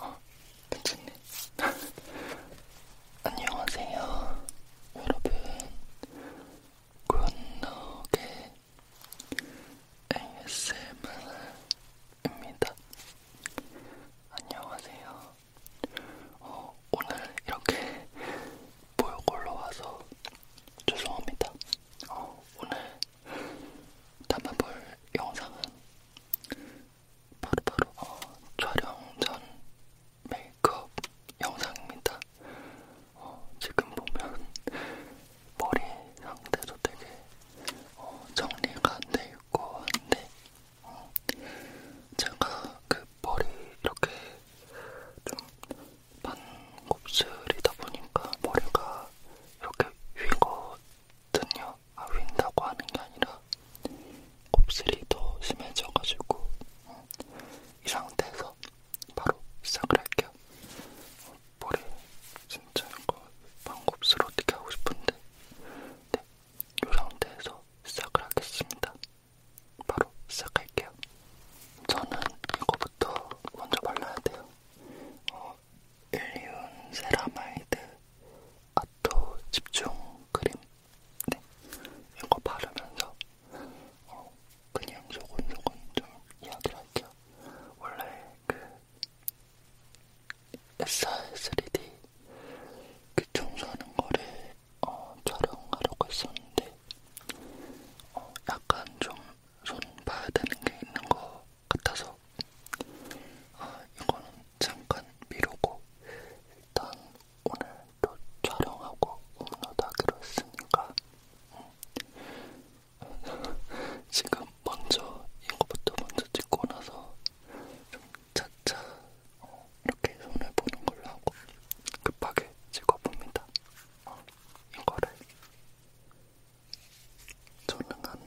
어, 괜찮네. 안녕하세요, 여러분. 굿노게 ASMR입니다. 안녕하세요. 어, 오늘 이렇게 보육골로 와서 죄송합니다. 어, 오늘 담아볼 영상은 바로바로 바로 어, 촬영 전 메이크업 영상입니다. 어, 지금 보면 머리 상태도 되게 어, 정리가 안돼 있고 한데 어, 제가 그 머리 이렇게 좀 반곱슬이다 보니까 머리가 이렇게 휘거든요. 아, 윈다고 하는 게 아니라 곱슬이 더 심해져가지고 이 상태에서 바로 시작을 할게요. 머리 진짜 이거 반곱슬 어떻게 하고 싶은데 네, 이 상태에서 시작을 하겠습니다. 바로 시작할게요. 저는 이거부터 먼저 발라야 돼요. 어, 일리온 세라마이드 아토 집중 크림. 네, 이거 바르면서 어, 그냥 조곤조곤 좀 이야기를 할게요. 원래 그 SR3D 그 청소하는 거를 어, 촬영하려고 했었는데 어, 약간 좀 손 봐야 되는 게 있는 것 같아서 어, 이거는 잠깐 미루고 일단 오늘 또 촬영하고 업로드하기로 했으니까 음. 지금 먼저 이거부터 먼저 찍고 나서 좀 차차 어, 이렇게 손을 보는 걸로 하고 급하게 찍어봅니다. 어. 이거를 저는 한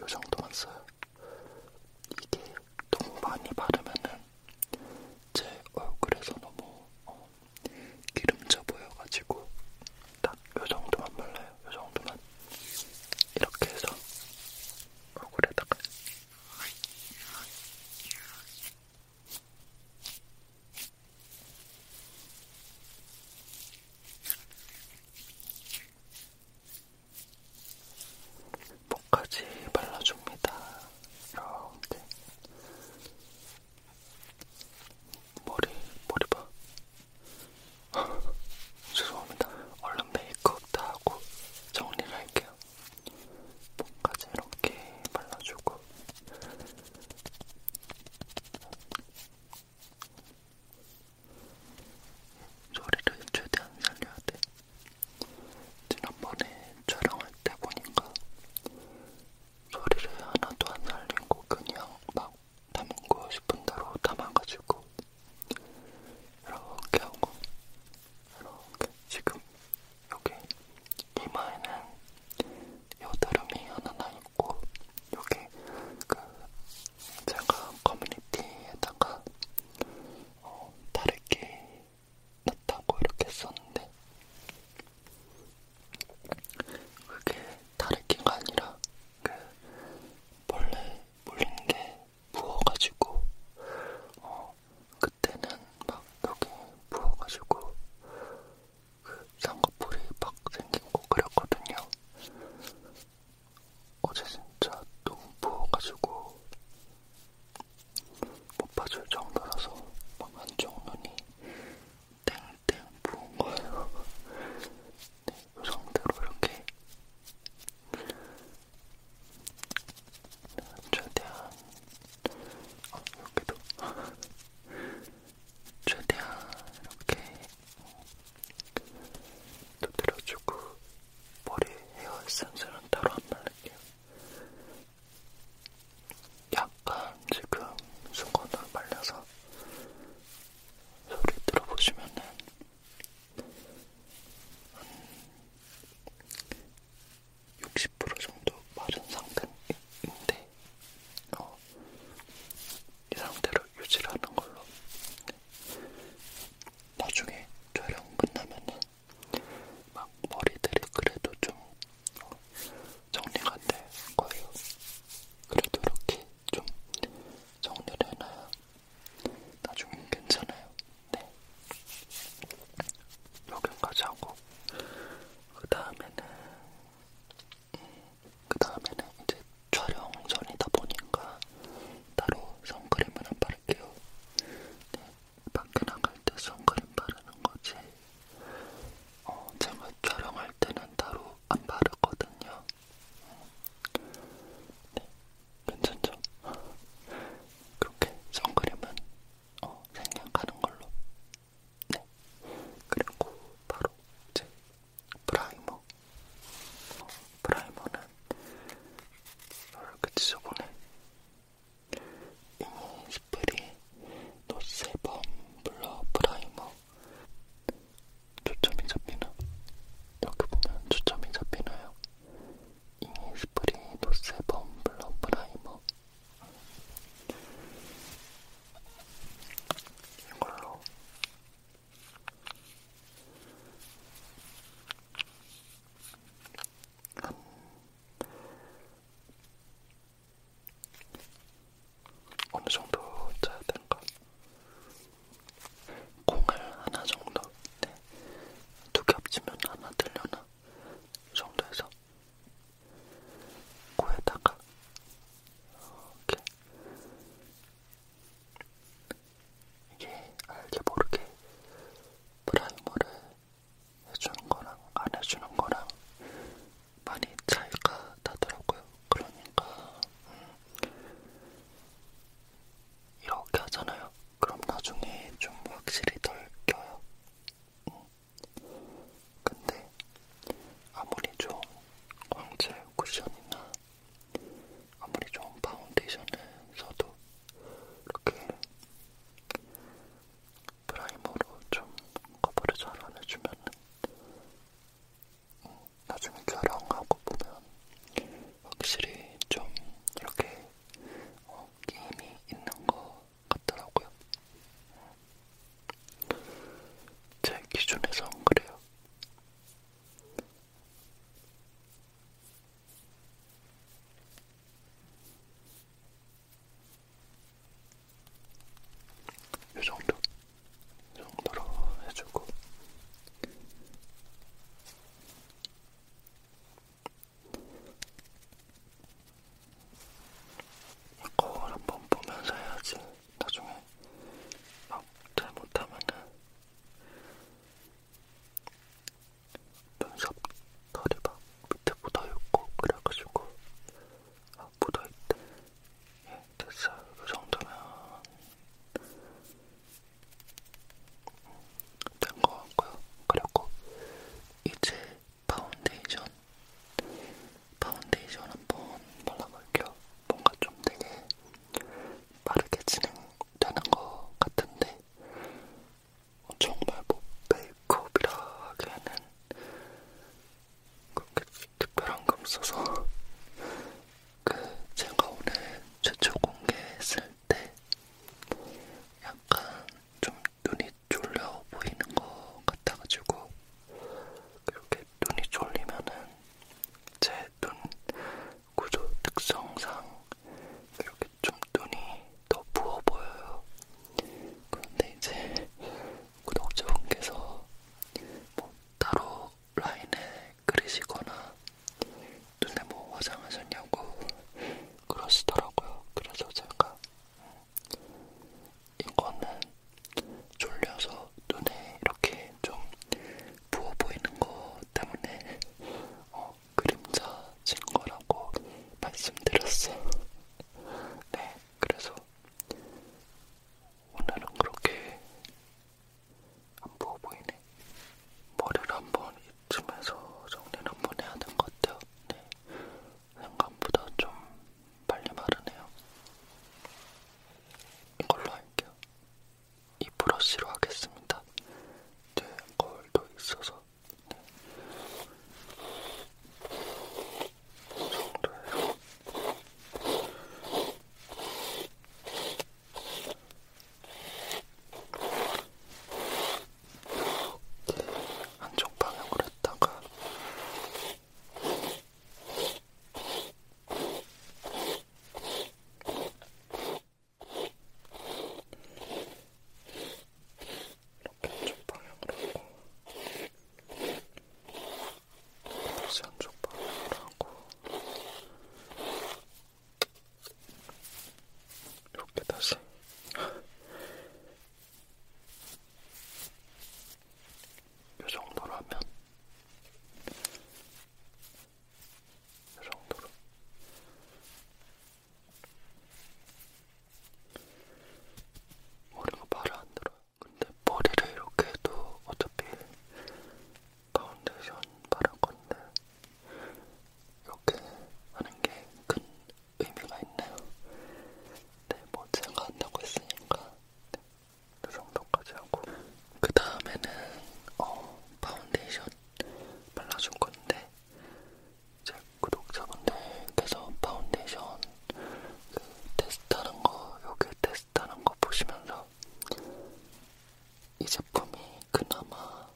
요 정도만 써요. 이게 너무 많이 바르면은 제 얼굴에서 너무 어, 기름져 보여가지고 딱 요 정도만 발라요. 요 정도만 이렇게 해서 얼굴에다가 목까지 발라줍니다. 이렇게 머리 머리 봐. 죄송합니다. 얼른 메이크업 다 하고 정리를 할게요. 목까지 이렇게 발라주고 소리를 최대한 살려야 돼. 지난번에 촬영할 때 보니까 소리를 하나도 안 살리고 그냥 막 담고 싶은 대로 담아가지고 이렇게 하고 이렇게 지금 여기 이마에는 여드름이 하나 나 있고 여기 그 제가 커뮤니티에다가 어, 다르게 났다고 이렇게 썼는데 그게 다르기가 아니라 그 원래 물린 게 부어가지고 어, 그때는 막 여기 부어가지고 그 쌍꺼풀이 막 생기고 그랬거든요. 어제 진짜 너무 부어가지고 못 봐줄 정도라서 막 안쪽 눈이 땡땡 부은 거예요. 네, 이 상태로 이렇게 최대한 어, 이렇게도 최대한 이렇게 두드려주고 머리 헤어 에센스는 따로 안 바를게요. 약간 지금 순간으로 말려서 소리 들어보시면은 60% 정도 마른 상태인데 어, 이 상태로 유지를 하는 걸로 네. 나중에 촬영 끝나면은 막 머리들이 그래도 좀 어, 정리가 될 거예요. 그래도 이렇게 좀 정리를 해놔야 나중에 괜찮아요. 네. 여기까지 하고 그 다음에는 음, 그 다음에는 이제 촬영 전이다 보니까 따로 선크림을 안 바를게요. 네, 밖에 나갈 때 선크림 바르는 거지. 어, 제가 촬영할 때는 따로 안 바르거든요. 네, 괜찮죠? 그렇게 선크림은 어, 생략하는 걸로. 네. 그리고 바로 제 프라이머. 어, 프라이머는 이렇게 지저분해. 이모 스프리 노세범 블러 프라이머. 초점이 잡히나? 여기 보면 초점이 잡히나요? 이니스프리 노세범 블러 프라이머 이걸로 한 어느 정도 짜야 되는가? 콩을 하나 정도, 네. 두개 합치면 하나 들려나? 이 정도에서 코에다가 이렇게 이게 알게 모르게 프라이머를 해주는 거랑 안 해주는 거랑 많이 차이가 나더라고요. 그러니까 음, 이렇게 하잖아요. 그럼 나중에 좀 확실히 덜 껴요. 음. 근데 아무리 좋은 광채 쿠션이나 아무리 좋은 파운데이션을 써도 이렇게 프라이머로 좀 커버를 잘안 해주면 음, 나중에 촬영하고 보면 확실히 좀 이렇게 어, 게임이 있는 거 같더라고요. 제 기준에선 그래요. 이 정도, 이 정도로 해주고 이 거울 한번 보면서 해야지 나중에 막 잘못하면은 눈썹 털이 막 밑에 묻어있고 그래가지고 아 묻어있대 예 됐어요 그 정도면 음, 된거 같고요 그리고 이제 파운데이션 파운데이션 한번 발라볼게요. 뭔가 좀 되게 빠르게 진행되는 것 같은데 정말 뭐 메이크업이라 하기에는 그렇게 특별한 거 없어서 그 제가 오늘 최초 공개했을 때 약간 좀 눈이 졸려 보이는 것 같아가지고 그렇게 눈이 졸리면은 제 눈 구조 특성상 이렇게 좀 눈이 더 부어 보여요. 그런데 이제 구독자분께서 뭐 따로 라인에 그리시거나 눈에 뭐 화장하셨냐고 그러시더라고요. 그래서 제가 음, 이거는 졸려서 눈에 이렇게 좀 부어 보이는 것 때문에 어, 그림자 진 거라고 말씀드렸어요. 네, 그래서 오늘은 그렇게 안 부어 보이네. 머리를 한번 이쯤에서 정리를 한번 해야 될것 같아요. 네. 생각보다 좀 빨리 마르네요. 이걸로 할게요. 이 브러쉬로 하겠습니다. 제 네, 거울도 있어서. 네. 이 정도예요. 한쪽 방향으로 했다가 이렇게 한쪽 방향으로 하고 다시 한쪽 방향으로 하고 이렇게 다시 이 정도로 하면 이 정도로 머리가 말을 안 들어요. 근데 머리를 이렇게 해도 어차피 파운데이션 바를 건데 이렇게 하는 게큰 의미가 있나요? 네, 뭐 제가 한다고 했으니까 네, 그 정도까지 하고 그 다음에는 어, 파운데이션 발라줄 건데 제 구독자분들께서 파운데이션 그 테스트하는 거 여기 테스트하는 거 보시면서 이 제품이 그나마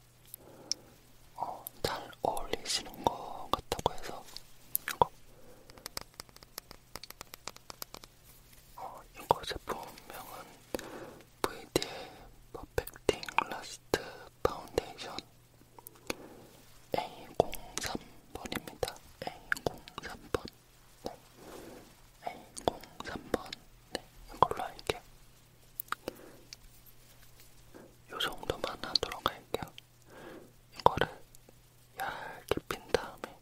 어, 잘 어울리시는 것 같다고 해서 이거 어, 이거 제품명은 VDL 퍼펙팅 라스트 파운데이션 A03번입니다. A03번 네. A03번 네, 이걸로 할게요. 요 정도만 하도록 할게요. 이거를 얇게 핀 다음에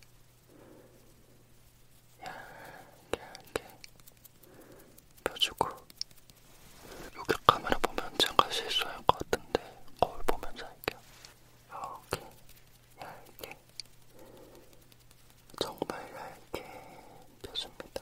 얇게 얇게 펴주고 여기 카메라 보면 잠깐 실수할 것 같은데 거울 보면서 할게요. 이렇게 얇게 정말 얇게 펴줍니다.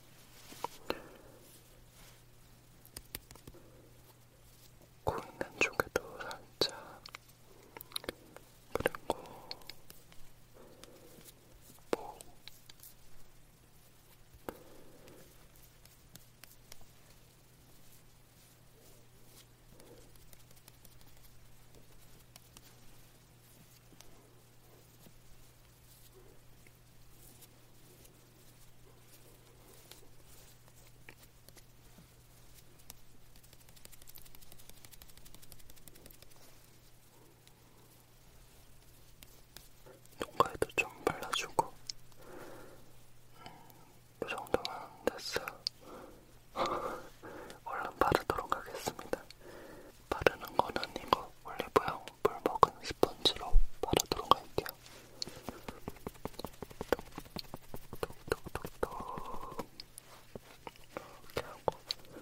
코 있는 쪽에도 살짝 그리고 목 뭐 농가에도 좀 발라주고 음, 이 그 정도면 됐어요. 얼른 바르도록 하겠습니다. 바르는 건 아니고 올리브영 물 먹은 스펀지로 바르도록 할게요. 톡톡톡톡 이렇게 하고 톡톡톡톡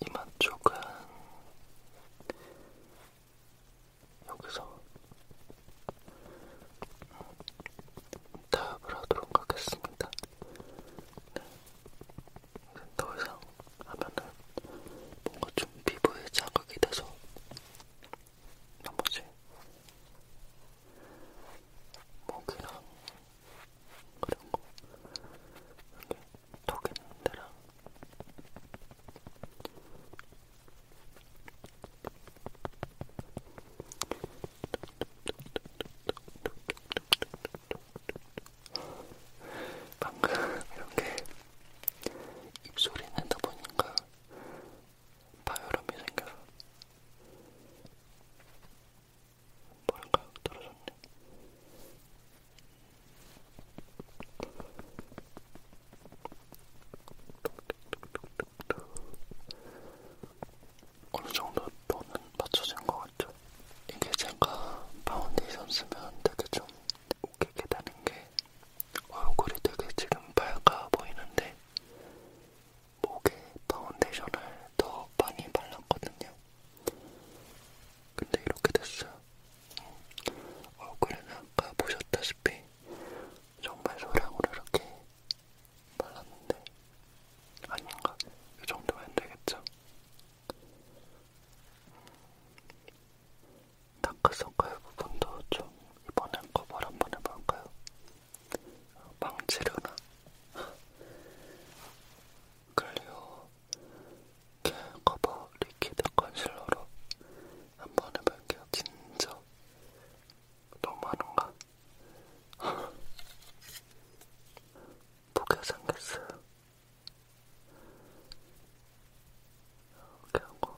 이마 쪽은 여기서 답을 하도록 하겠습니다. 네. 더 이상 하면은 뭔가 좀 피부에 자극이 돼서 나머지 목이랑 그런 거 여기 턱 있는 데랑 방금 이렇게 입소리 내다 보니까 파열음이 생겨서 뭐랄까 떨어졌네. 어느 정도 또는 맞춰진 것 같죠. 이게 제가 파운데이션 쓰면 되게 좀 웃기게 되는 게 얼굴이 되게 지금 밝아 보이는데 목에 파운데이션을 더 많이 발랐거든요. 근데 이렇게 됐어요. 음, 얼굴에는 아까 보셨다시피 정말 소량으로 이렇게 발랐는데 아닌가? 이 정도면 되겠죠? 다크서클 부분도 좀 이번엔 커버를 한번 해볼까요? 망치르나? 클리오 겔 커버 리퀴드 컨실러로 한번 해볼게요. 진저 너무하는가? 보게 생겼어요. 이렇게 하고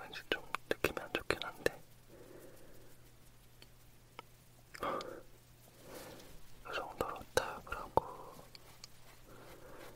왠지 좀 느낌이 안 좋긴 한데 이 정도로 타협을 하고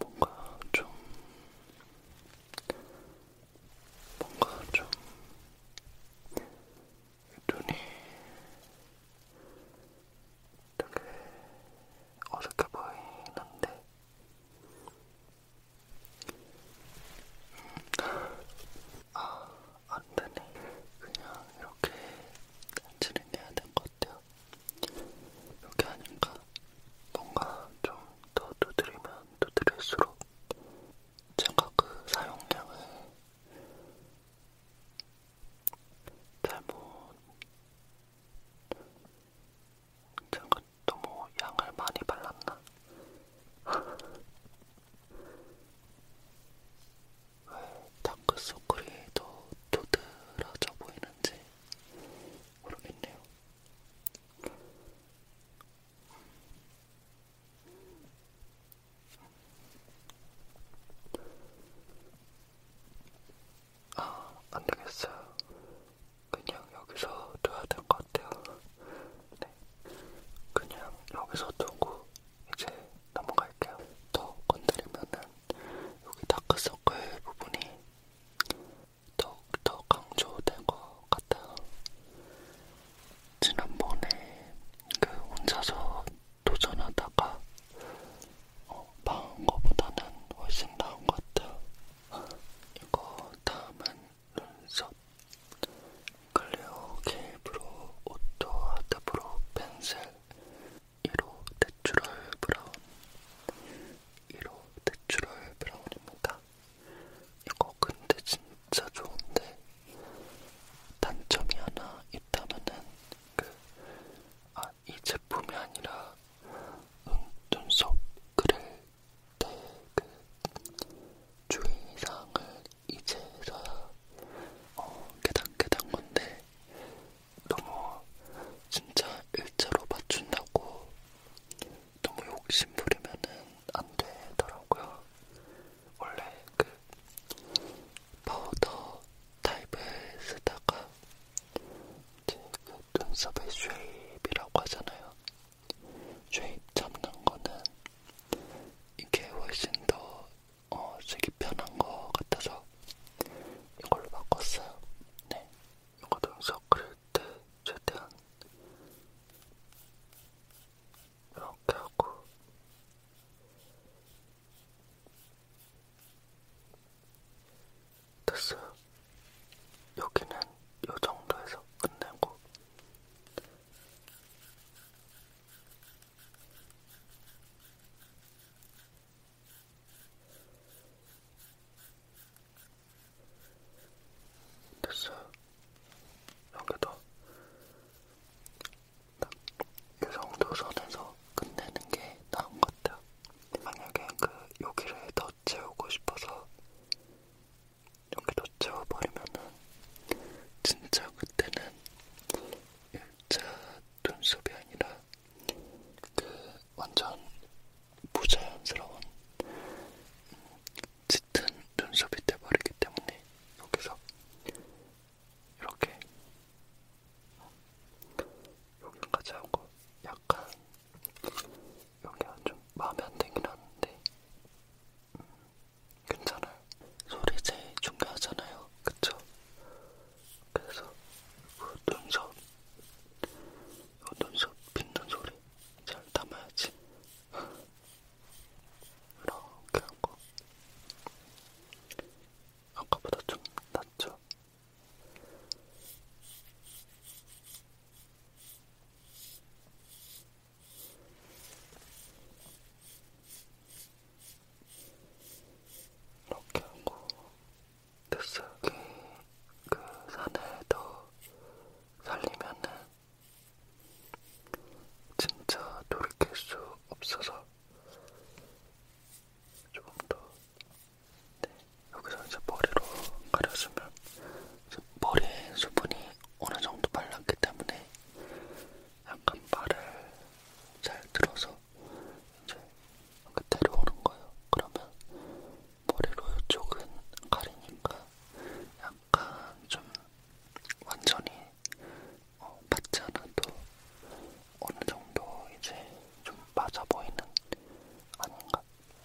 뭔가 좀 뭔가 좀 눈이 되게 어색해 보이는데 아, 안 되네. 그냥 이렇게 진행해야 될 것 같아요. 이렇게 하니까 뭔가 좀 더 두드리면 두드릴수록 제가 그 사용량을 잘못 제가 너무 양을 많이 발랐나? 다크서클이 더 도드라져 보이는지 모르겠네요. 아, 안 되겠어요. 그냥 여기서 둬야 될 것 같아요. 네. 그냥 여기서 두고 이제 넘어갈게요. 더 건드리면은 여기 다크서클 부분이 더욱더 강조된 것 같아요. 지난번에 그 혼자서 도전하다가 어, 망한 거보다는 훨씬 나은 것 같아요. 이거 다음은 눈썹. 클리오 케이브로 오토 아트브로 펜슬 1호 내추럴 브라운 1호 내추럴 브라운입니다. 이거 근데 진짜 좋은데 단점이 하나 있다면은 그 아 이 제품이 아니라 눈, 눈썹 그릴 때 그 주의사항을 이제서야 어, 깨닫게된 건데 너무 진짜 일자로 맞춘다고 너무 욕심 부리면은 안 되더라고요. 원래 그 파우더 타입을 쓰다가 이제 그 눈썹에 쉐입이라고 하잖아요. 쉐입 잡는 거는 이게 훨씬 더 어, 색이 편한 것 같아서 이걸로 바꿨어요. 네, 이것도 영상 그릴 때 최대한 이렇게 하고 됐어요. 여기는 이 정도에서 끝내고 됐어요. 여기도 딱이 그 정도 선에서 끝내는 게 나은 것 같아요. 만약에 그 여기를 더 채우고 싶어서 여기 더 채워버리면은 진짜 그때는 예, X자 눈썹이 아니라 그 완전 부자연스러운 짙은 눈썹이 돼버리기 때문에 여기서 이렇게 여기까지 하고 약간 여기가 좀 마음에 안 들긴 하는데 음, 괜찮아요. 소리 제일 중요하잖아요. 그쵸? 그래서 그 눈썹, 이 그 눈썹 빗는 소리 잘 담아야지. 이렇게 하고. 아까보다 좀 낫죠? 이렇게 하고 뱃속이 그 산을 더 살리면은 진짜 돌이킬 수 없어서 조금 더 네, 여기서 이제 머리로 가려주면 이제 머리에 수분이 어느 정도 발랐기 때문에 약간 발을 잘 들어서 이제 이렇게 데려오는 거예요. 그러면 머리로 이쪽은 가리니까 약간 좀 완전히 어, 받지 않아도 어느 정도 이제 좀 맞아 보이는 아닌가?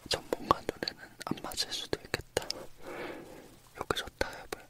전문가 눈에는 안 맞을 수도 있겠다. 여기서 타협을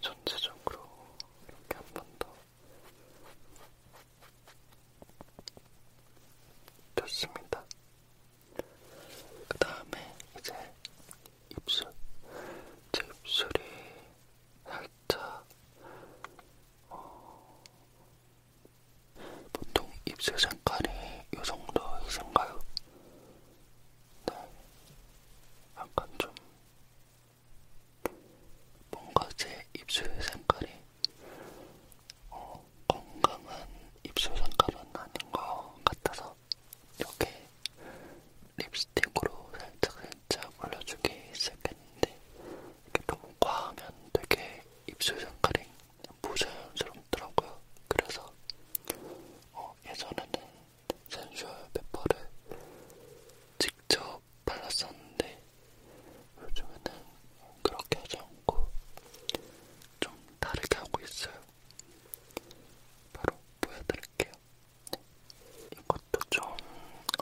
전체적으로 이렇게 한번더 됐습니다. 그 다음에 이제 입술, 제 입술이 살짝 어... 보통 입술 색깔이 이 정도이신가요? 네. 약간 좀 뭔가 제 입술 색깔이 어, 건강한 입술 색깔은 아닌 것 같아서 여기 립스틱으로 살짝살짝 올려주기 시작했는데 이게 너무 과하면 되게 입술 색깔이 부자연스럽더라고요. 그래서 어, 예전에는 센슈얼 페퍼를 직접 발랐었는데 요즘에는 그렇게 하지 않고 좀 다르게 하고 있어요. 바로 보여드릴게요. 네, 이것도 좀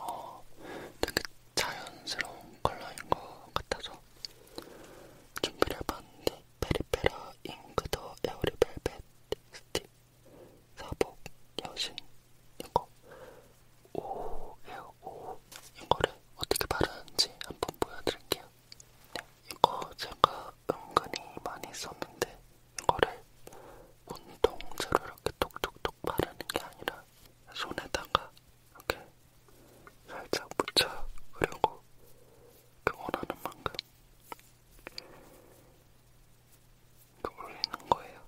어, 되게 자연스러운 컬러인 것 같아서 준비를 해봤는데 페리페라 잉크 더 에어리 벨벳 스틱, 사복, 여신, 이거 오예요 오. 예, 이거를 어떻게 바르는지 한번 보여드릴게요. 네, 이거 제가 은근히 많이 썼는데 이거를 운동제로 이렇게 톡톡톡 바르는 게 아니라 손에다가 이렇게 살짝 묻혀 그리고 응원하는 만큼 이거 올리는 거예요.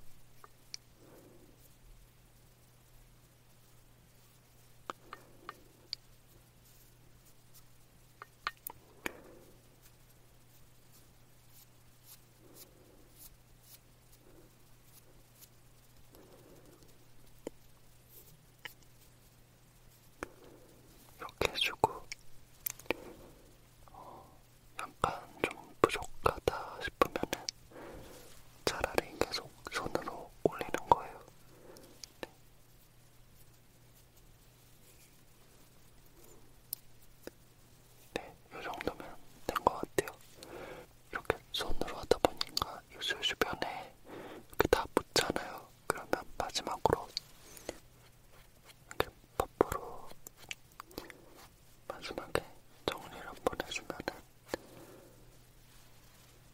이렇게 해주고 어, 약간 좀 부족하다 싶으면은 차라리 계속 손으로 올리는 거예요. 네. 네, 이 정도면 된 것 같아요. 이렇게 손으로 하다 보니까 입술 주변에 이렇게 다 묻잖아요. 그러면 마지막으로 이렇게 퍼프로 마지막에 정리를 한번 해주면은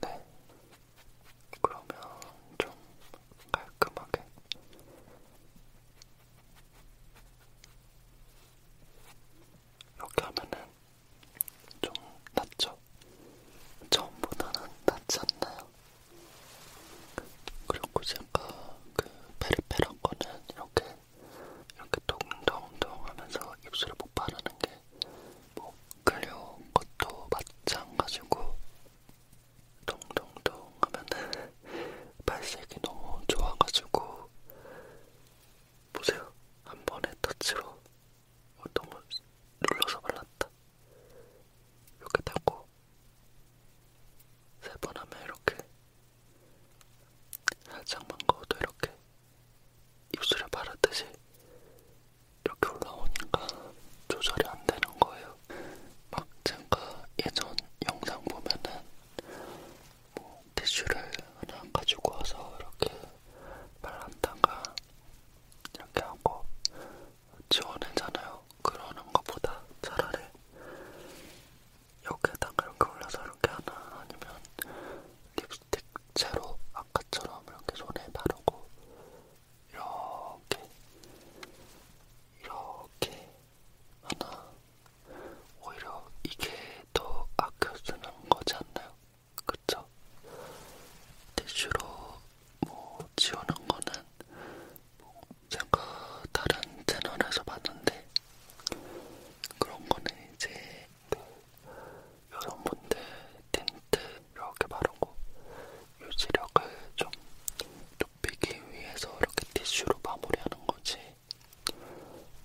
네 그러면 좀 깔끔하게 이렇게 하면은 좀 낫죠? 처음보다는 낫지 않나요? 그리고 제가 그 페리페란 거는 이렇게 이렇게 동동동 하면서 입술을 못 바르는 게뭐 클리오 것도 마찬가지고 동동동 하면은 발색이 너무 좋아가지고 보세요 한 번에 터치로 어, 너무 눌러서 발랐다 이렇게 닫고 세번 하면 이렇게 살짝만 거어도 이렇게 입술에 바르듯이 이렇게 올라오니까 조절이 안 되는 거예요. 막 제가 예전 영상 보면은 뭐 티슈를 하나 가지고 와서 이렇게 발랐다가 이렇게 하고 지원해잖아요. 그러는 것보다 차라리 여기에다가 이렇게 올려서 이렇게 하나 아니면 립스틱 채로 아까처럼 이렇게 손에 바르고 이렇게 이렇게 하나 오히려 이게 더 아껴 쓰는 거지 않나요? 그쵸? 티슈로 뭐 지우는 거는 뭐 제가 다른 채널에서 봤는데 그런 거는 이제 그 여성분들 틴트 이렇게 바르고 유지력을 좀 높이기 위해서 이렇게 티슈로 마무리하는 거지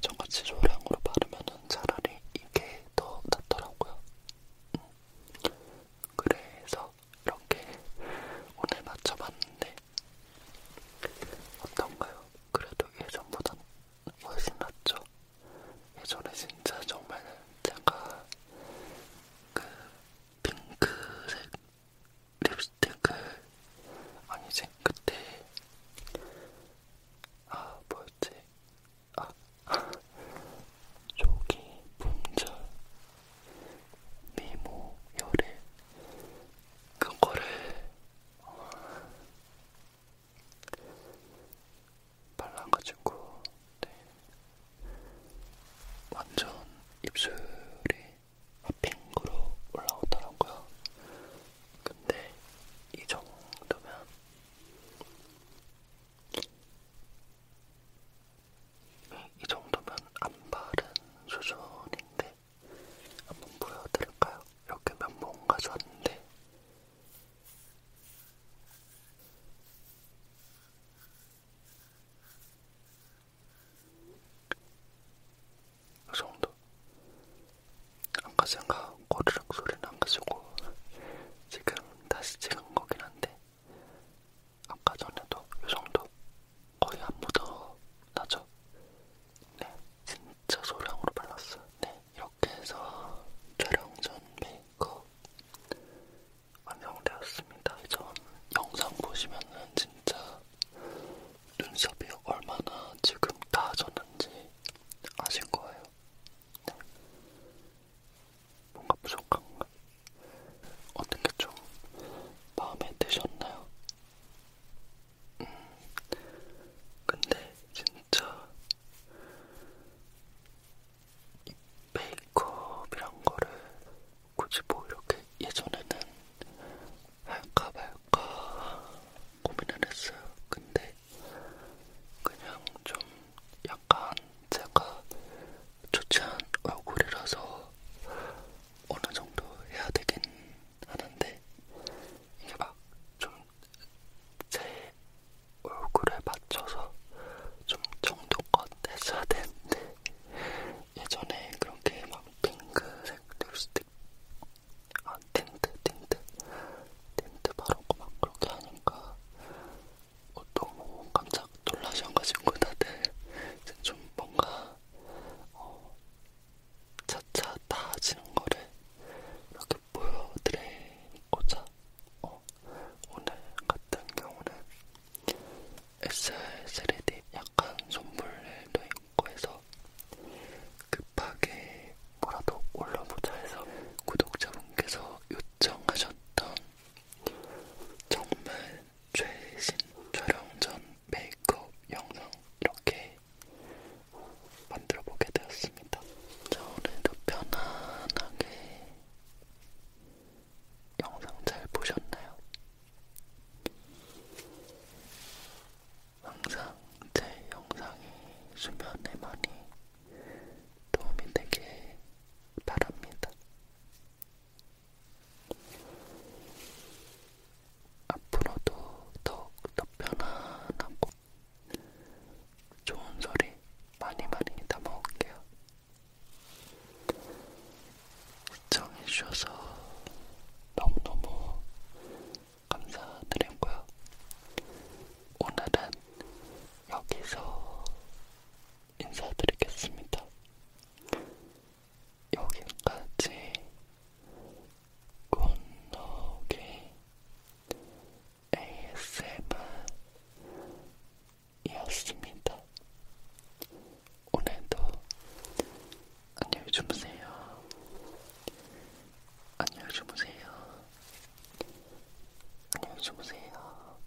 저같이 조량으로 바르면은 차라리 이게 더 낫더라고요. 음. 그래서 해서 이렇게 오늘 맞춰봤는데 어떤가요? 그래도 예전보단 훨씬 낫죠? 예전에 진짜 정말 제가 그 핑크색 립스틱을 아니지 그때 아 뭐였지? 아, 조기 품절 미모 열애 그거를 어, 발라가지고 네. 완전 입술이 핑크로 올라오더라고요. 근데 이 정도면 이 정도면 안 바른 수준인데 한번 보여드릴까요? 이렇게 면봉 가져왔는데 이 정도 아까 제가 꼬르륵 소리는 안 가지고 지금 다시 찍은 거긴 한데 아까 전에도 이 정도 거의 안 묻어나죠? 네, 진짜 소량으로 발랐어요. 네, 이렇게 해서 촬영 전 메이크업 완성되었습니다. 전 영상 보시면은 진짜 눈썹이 얼마나 지금 다 졌는지 아실 거예요. 네. 뭔가 부족한가? 어떻게 좀 마음에 드셨나요? 음, 근데 진짜 이 메이크업이란 거를 굳이 뭐 이렇게 예전에는 할까 말까 고민을 했어요. 근데 그냥 좀 약간 제가 좋지 않은 얼굴이라서 어느 정도 해야 되긴 하는데 이게 막 좀 제 얼굴에 맞춰서 좀 정도껏 했어야 되는데 예전에 그렇게 막 핑크색 립스틱 아 틴트 틴트 틴트 바르고 막 그렇게 하니까 어, 너무 깜짝 놀라셔가지고 다들 좀 뭔가 어, 차차 나아지는 거를 이렇게 보여드리고자 어, 오늘 같은 경우는 SR3D 약간 선물도 있고 해서 급하게 뭐라도 올려보자 해서 구독자분께서 요청하셨던 정말 최신 촬영 전 메이크업 영상 이렇게 만들어 보게 되었습니다. 자, 오늘도 편안하게 영상 잘 보셨나요? 항상 제 영상이 수면에 많이 도움이 되길 바랍니다. 앞으로도 더욱더 편안하고 좋은 소리 많이 많이 담아올게요. 시청해주셔서 너무너무 감사드리고요. 오늘은 여기서 인사드리겠습니다. 여기까지 굿노기 ASMR이었습니다. 오늘도 안녕히 주무세요. 안녕히 주무세요. 안녕히 주무세요.